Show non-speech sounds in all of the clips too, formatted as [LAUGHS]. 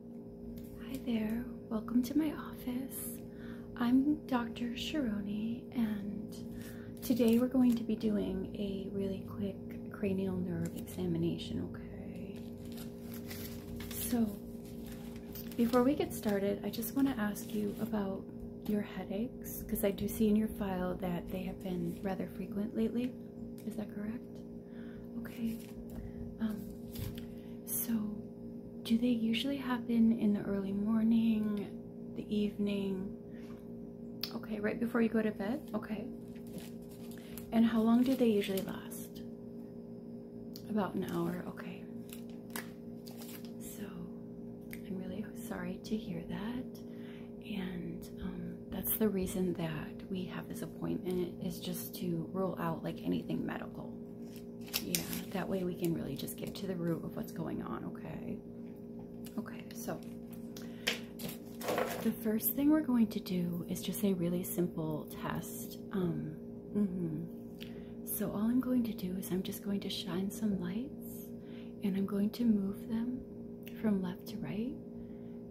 Hi there, welcome to my office. I'm Dr. Sharoni, and today we're going to be doing a really quick cranial nerve examination, okay? So, before we get started, I just want to ask you about your headaches, because I do see in your file that they have been rather frequent lately. Is that correct? Okay. Um, so, do they usually happen in the early morning, the evening? Okay, right before you go to bed? Okay. And how long do they usually last? About an hour, okay. So, I'm really sorry to hear that. And um, that's the reason that we have this appointment is just to rule out like anything medical. Yeah, that way we can really just get to the root of what's going on, okay? Okay, so the first thing we're going to do is just a really simple test. Um, mm -hmm. So all I'm going to do is I'm just going to shine some lights and I'm going to move them from left to right.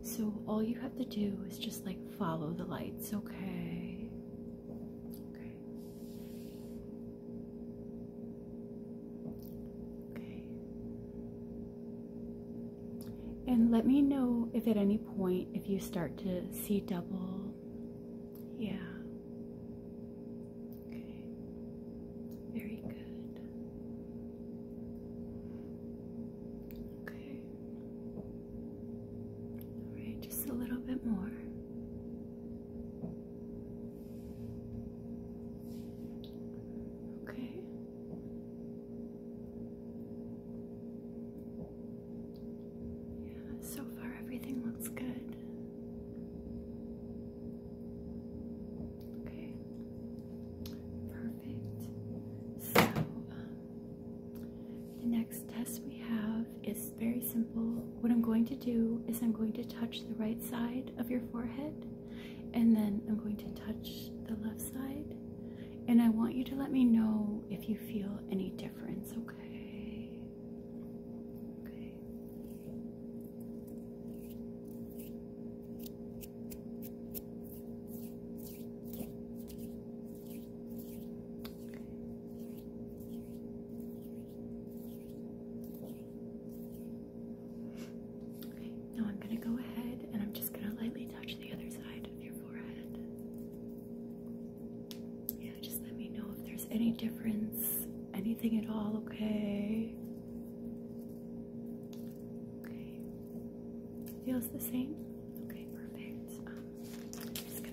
So all you have to do is just like Follow the lights, okay? Okay. Okay. And let me know if at any point if you start to see double. Yeah. Okay. Very good. Okay. All right, just a little bit more. Okay. Yeah, so far everything looks good. Okay, perfect. So, um, the next test we have is very simple. What I'm going to do is I'm going to touch the right side of your forehead and then I'm going to touch the left side. And I want you to let me know if you feel any difference, okay? Okay now I'm going to go ahead and I'm just going to lightly touch the other side of your forehead. Yeah, just let me know if there's any difference, anything at all, okay? Okay. Feels the same? Okay, perfect. Um,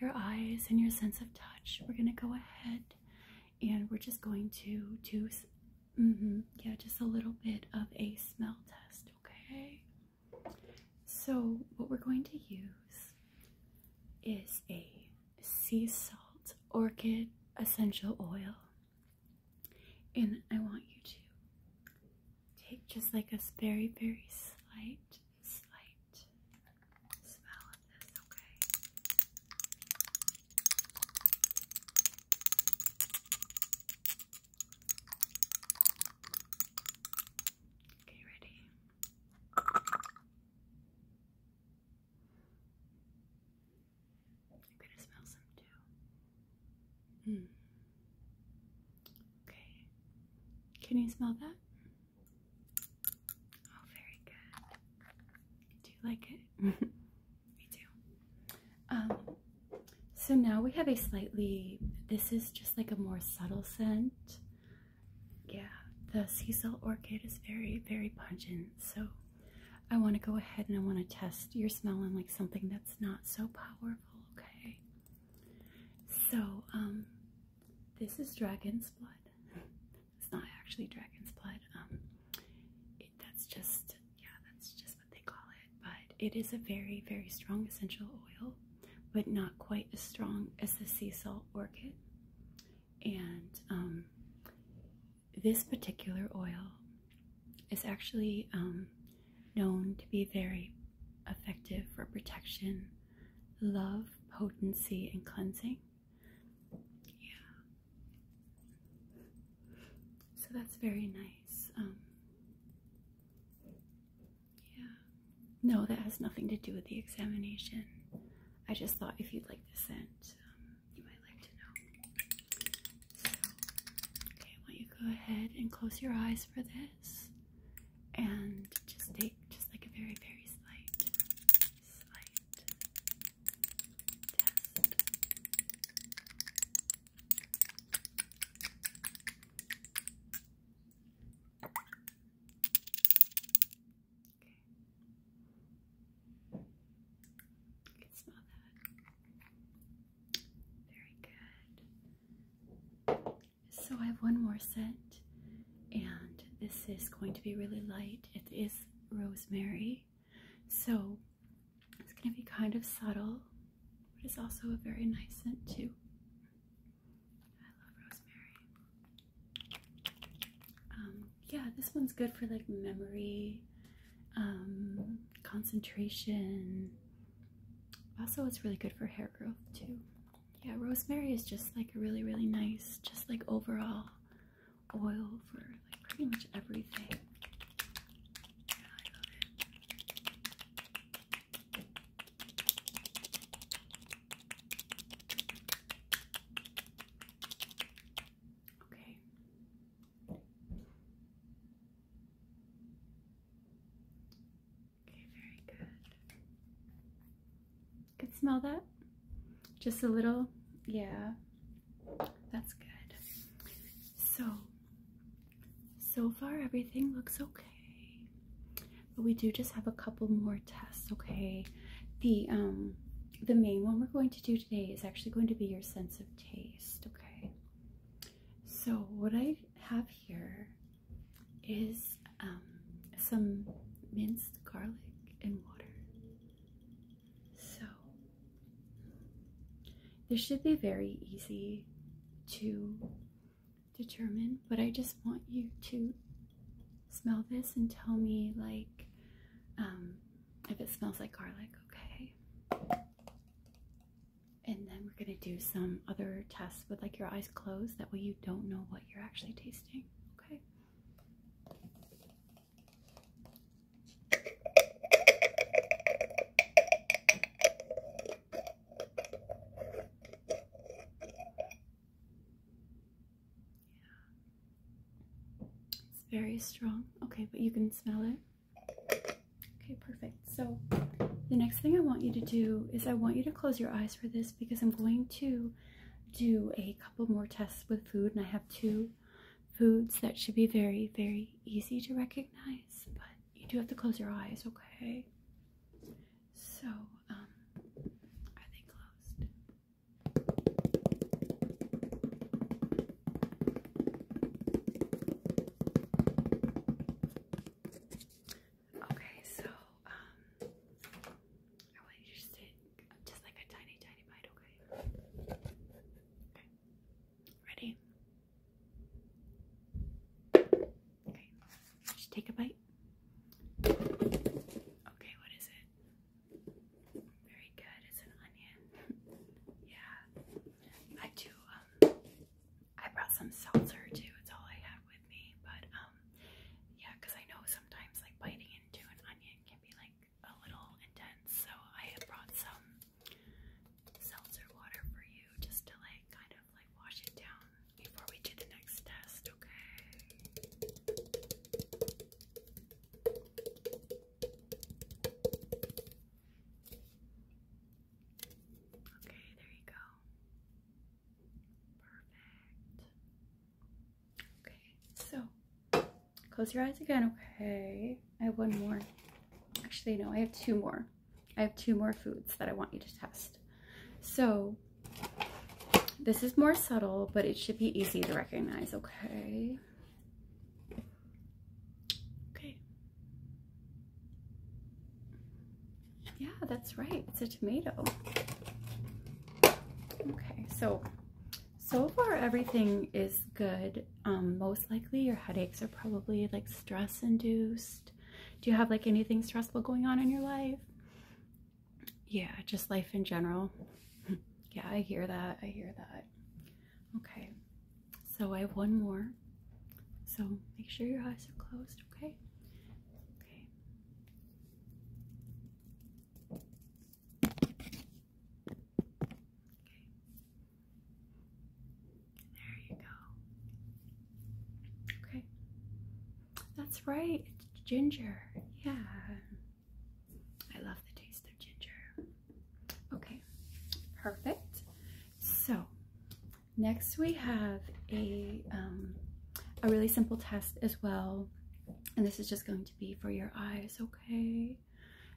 your eyes and your sense of touch. We're going to go ahead and we're just going to do, mm-hmm, yeah, just a little bit of a smell test, okay? So, what we're going to use is a sea salt orchid essential oil. And I want you to take just like a very, very slight slight smell of this, okay? Okay, ready? I'm gonna smell some too. Hmm. Okay. Can you smell that? Oh, very good. Do you like it? [LAUGHS] Me too. Um, so now we have a slightly, this is just like a more subtle scent. Yeah, the sea salt orchid is very, very pungent. So I want to go ahead and I want to test your smelling like something that's not so powerful, okay? So, um, this is dragon's blood. [LAUGHS] It's not actually dragon's blood. Um, that's just yeah, that's just what they call it. But it is a very very strong essential oil, but not quite as strong as the sea salt orchid. And um, this particular oil is actually um, known to be very effective for protection, love, potency, and cleansing. Yeah. So that's very nice. Um, yeah. No, that has nothing to do with the examination. I just thought if you'd like the scent, um, you might like to know. okay, why you go ahead and close your eyes for this and just take just like a very, very slight sight test. Okay. You can smell that. Very good. So I have one more set, and this is going to be really light. It is rosemary. So it's going to be kind of subtle, but it's also a very nice scent too. I love rosemary. Um, yeah, this one's good for like memory, um, concentration. Also, it's really good for hair growth too yeah, rosemary is just like a really, really nice, just like overall oil for like pretty much everything. Okay. Okay, very good. Can smell that? Just a little, yeah. That's good. So, so far everything looks okay. But we do just have a couple more tests, okay? The um the main one we're going to do today is actually going to be your sense of taste, okay? So, what I have here is um some minced garlic and water. So, this should be very easy to determine, but I just want you to smell this and tell me, like, um, if it smells like garlic, okay? And then we're gonna do some other tests with like your eyes closed. That way you don't know what you're actually tasting, okay? It's very strong. Okay, but you can smell it. Okay, perfect. So the next thing I want you to do is I want you to close your eyes for this because I'm going to do a couple more tests with food, and I have two foods that should be very, very easy to recognize, but you do have to close your eyes, okay? So, um, are they closed? Okay, so, um, I want you to just sit just like a tiny, tiny bite, okay? Ready? Okay. Just take a bite. Okay, what is it? Very good. It's an onion. [LAUGHS] yeah. I do, um, I brought some seltzer too. It's all I have with me. But, um, I know sometimes like biting into an onion can be like, a little intense, so I have brought some seltzer water for you just to like kind of like wash it down before we do the next test, okay? Okay, there you go. Perfect. Okay, so close your eyes again, okay? I have one more. Actually, no, I have two more. I have two more foods that I want you to test. So this is more subtle, but it should be easy to recognize, okay? Okay. Yeah, that's right. It's a tomato. Okay, so so far everything is good. Um, most likely your headaches are probably like stress induced. Do you have like anything stressful going on in your life? Yeah, just life in general. [LAUGHS] yeah, I hear that. I hear that. Okay, so I have one more. So make sure your eyes are closed, okay? Okay. There you go. Okay. That's right. It's ginger. Yeah. I love the taste of ginger. Okay. Perfect. So, next we have a um, a really simple test as well. And this is just going to be for your eyes, okay?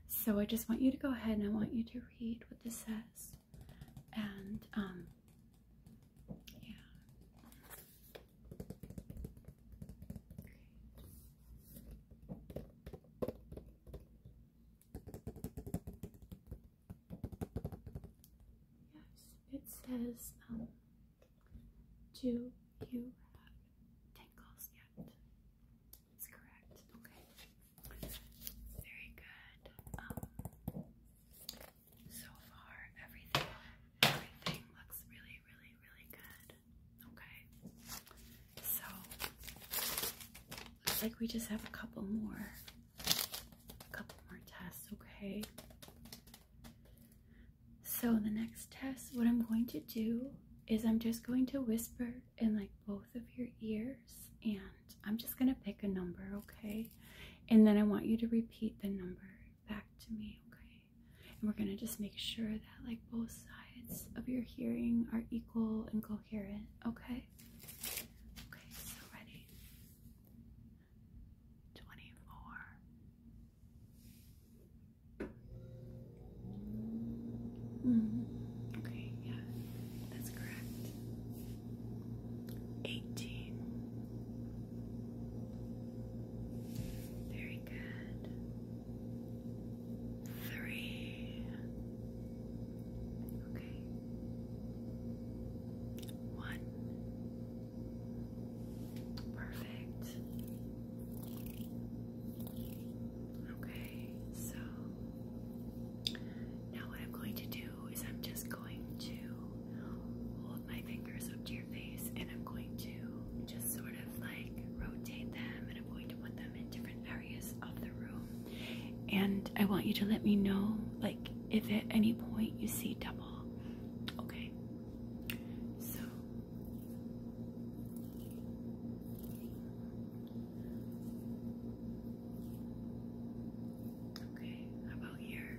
So I just want you to go ahead and I want you to read what this says. And, um, yeah. Yes, it says, um, do you have tingles yet? That's correct. Okay. Very good. Um, so far, everything, everything looks really, really, really good. Okay. So, looks like we just have a couple more, a couple more tests. Okay. So the next test, what I'm going to do is I'm just going to whisper in like both of your ears and I'm just going to pick a number, okay? And then I want you to repeat the number back to me, okay? And we're going to just make sure that like both sides of your hearing are equal and coherent, okay? Okay, so ready? 24 Mm. Okay, yeah, that's correct. Eighteen. Very good. Three. Okay. One. Perfect. Okay, so now what I'm going to do is I'm just going to hold my fingers up to your face and I'm going to just sort of like rotate them and I'm going to put them in different areas of the room. And I want you to let me know like if at any point you see double. Okay. So Okay, about here?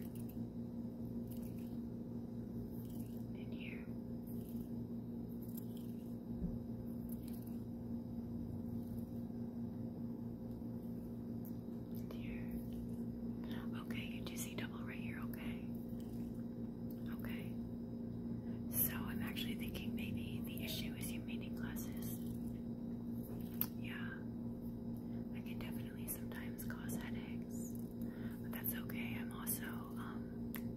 And here. here. Okay, you do see double right here, okay? Okay. So I'm actually thinking maybe the issue is your meeting glasses. Yeah. I can definitely sometimes cause headaches. But that's okay. I'm also um,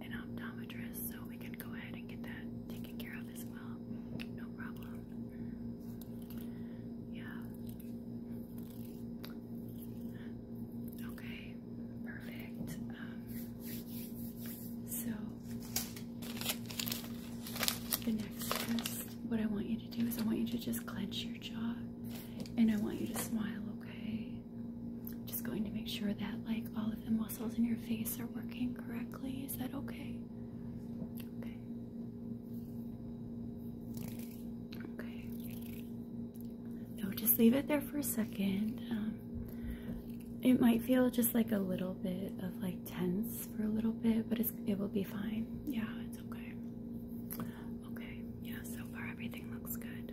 an optometrist, so we can go ahead and get that taken care of as well. No problem. Yeah. Okay, perfect. Um, so, the next test, what I want you to do is I want you to just clench your jaw and I want you to smile, okay? just going to make sure that, like, all of the muscles in your face are working correctly. Is that okay? Okay. Okay. So just leave it there for a second. Um, it might feel just like a little bit of like tense for a little bit, but it's, it will be fine. Yeah, it's okay. Okay, yeah, so far everything looks good.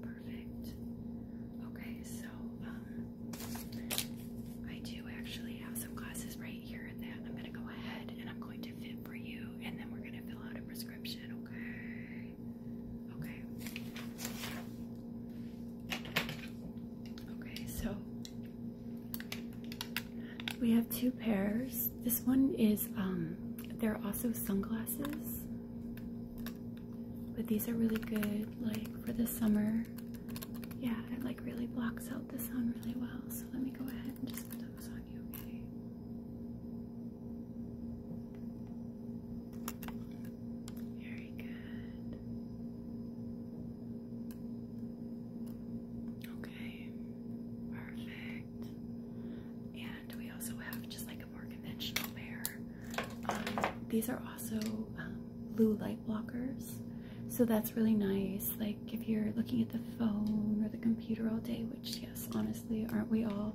Perfect. Okay, so um, I do actually have some glasses right here that I'm going to go ahead and I'm going to fit for you, and then we're going to fill out a prescription, okay? Okay. Okay, so we have two pairs. This one is um there are also sunglasses. But these are really good like for the summer. Yeah, it like really blocks out the sun really well. So let me go ahead and just put those on you, okay? Very good. Okay, perfect. And we also have just like a more conventional pair. Um, these are also um, blue light blockers. So that's really nice. Like if you're looking at the phone or the computer all day, which yes, honestly, aren't we all?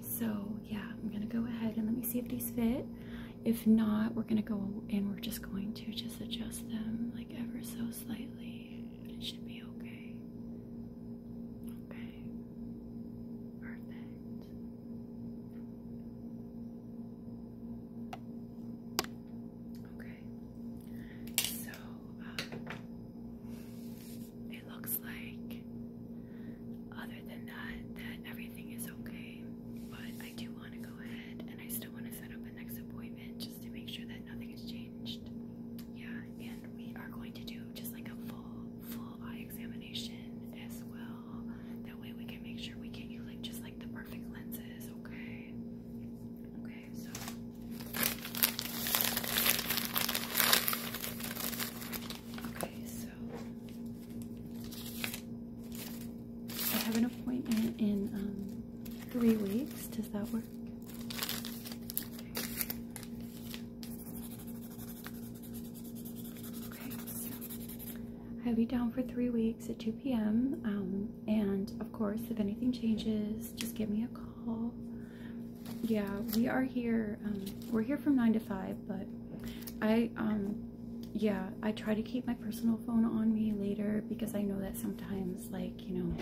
So yeah, I'm gonna go ahead and let me see if these fit. If not, we're gonna go and we're just going to just adjust them like ever so slightly. It should be okay. Okay. Perfect. Okay. So, uh, it looks like. Other than that, that everything is okay. But I do want to go ahead and I still want to set up a next appointment just to make sure that nothing has changed. Yeah, and we are going to do just like a full, full eye examination as well. That way we can make sure we get you like just like the perfect lenses, okay? Okay, so Okay, so I have an appointment in um, three weeks. Does that work? Okay, so I will be down for three weeks at 2 p.m. Um, and of course, if anything changes, just give me a call. Yeah, we are here um, we're here from nine to five, but I, um, yeah, I try to keep my personal phone on me later because I know that sometimes, like you know,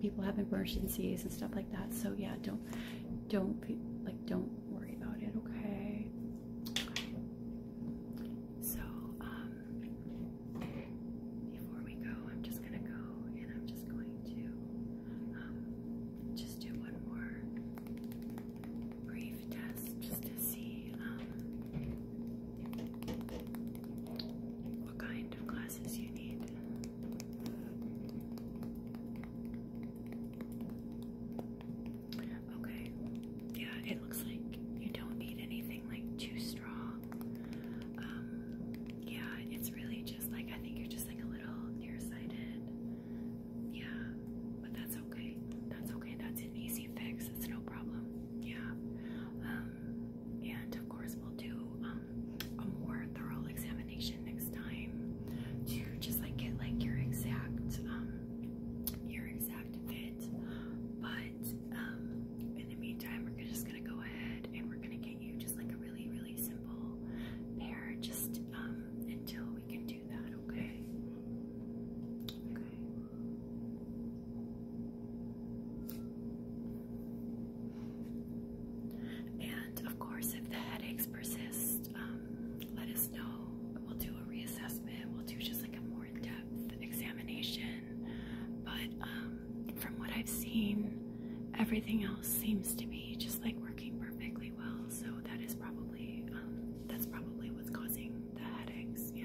people have emergencies and stuff like that. So yeah, don't, don't like, don't worry about it. Okay. So um, before we go, I'm just gonna go and I'm just going to just do one more brief test just to see um, what kind of glasses you need. Okay, yeah, it looks like you don't need anything like too strong. Um, yeah, it's really just like I think you're just like a little nearsighted. Yeah, but that's okay. That's okay. That's an easy fix. It's no problem. Yeah. Um, and of course, we'll do um, a more thorough examination next time to just like get like your exact um, your exact fit. But in the meantime, we're just gonna go ahead and we're gonna get you just like a really really simple pair just until we can do okay? Okay. And of course, if the headaches persist, um, let us know. We'll do a reassessment. We'll do just like a more in-depth examination. But um, from what I've seen, everything else seems to be just like working perfectly so that is probably um, that's probably what's causing the headaches. Yeah,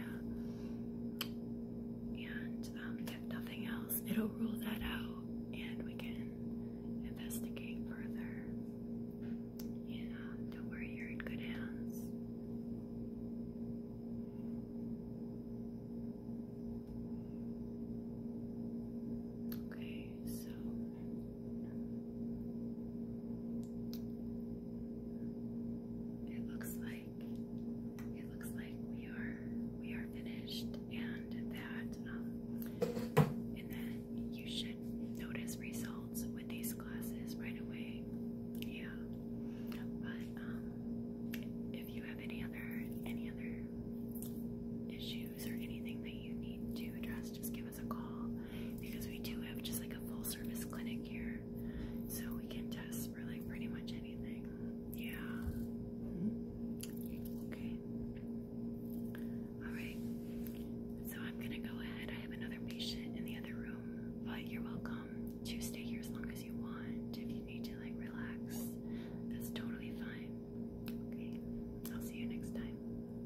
and um, if nothing else, it'll rule that out, and we can investigate further. Yeah, don't worry, you're in good hands. Okay, so it looks like it looks like we are we are finished and that um, and then you should notice results with these classes right away. Yeah. But um, if you have any other any other issues or anything that you need to address, just a call because we do have just like a full service clinic here. So we can test for like pretty much anything. Yeah. Mm-hmm. Okay. Alright. So I'm gonna go ahead. I have another patient in the other room, but you're welcome to stay here as long as you want. If you need to like relax, that's totally fine. Okay. I'll see you next time.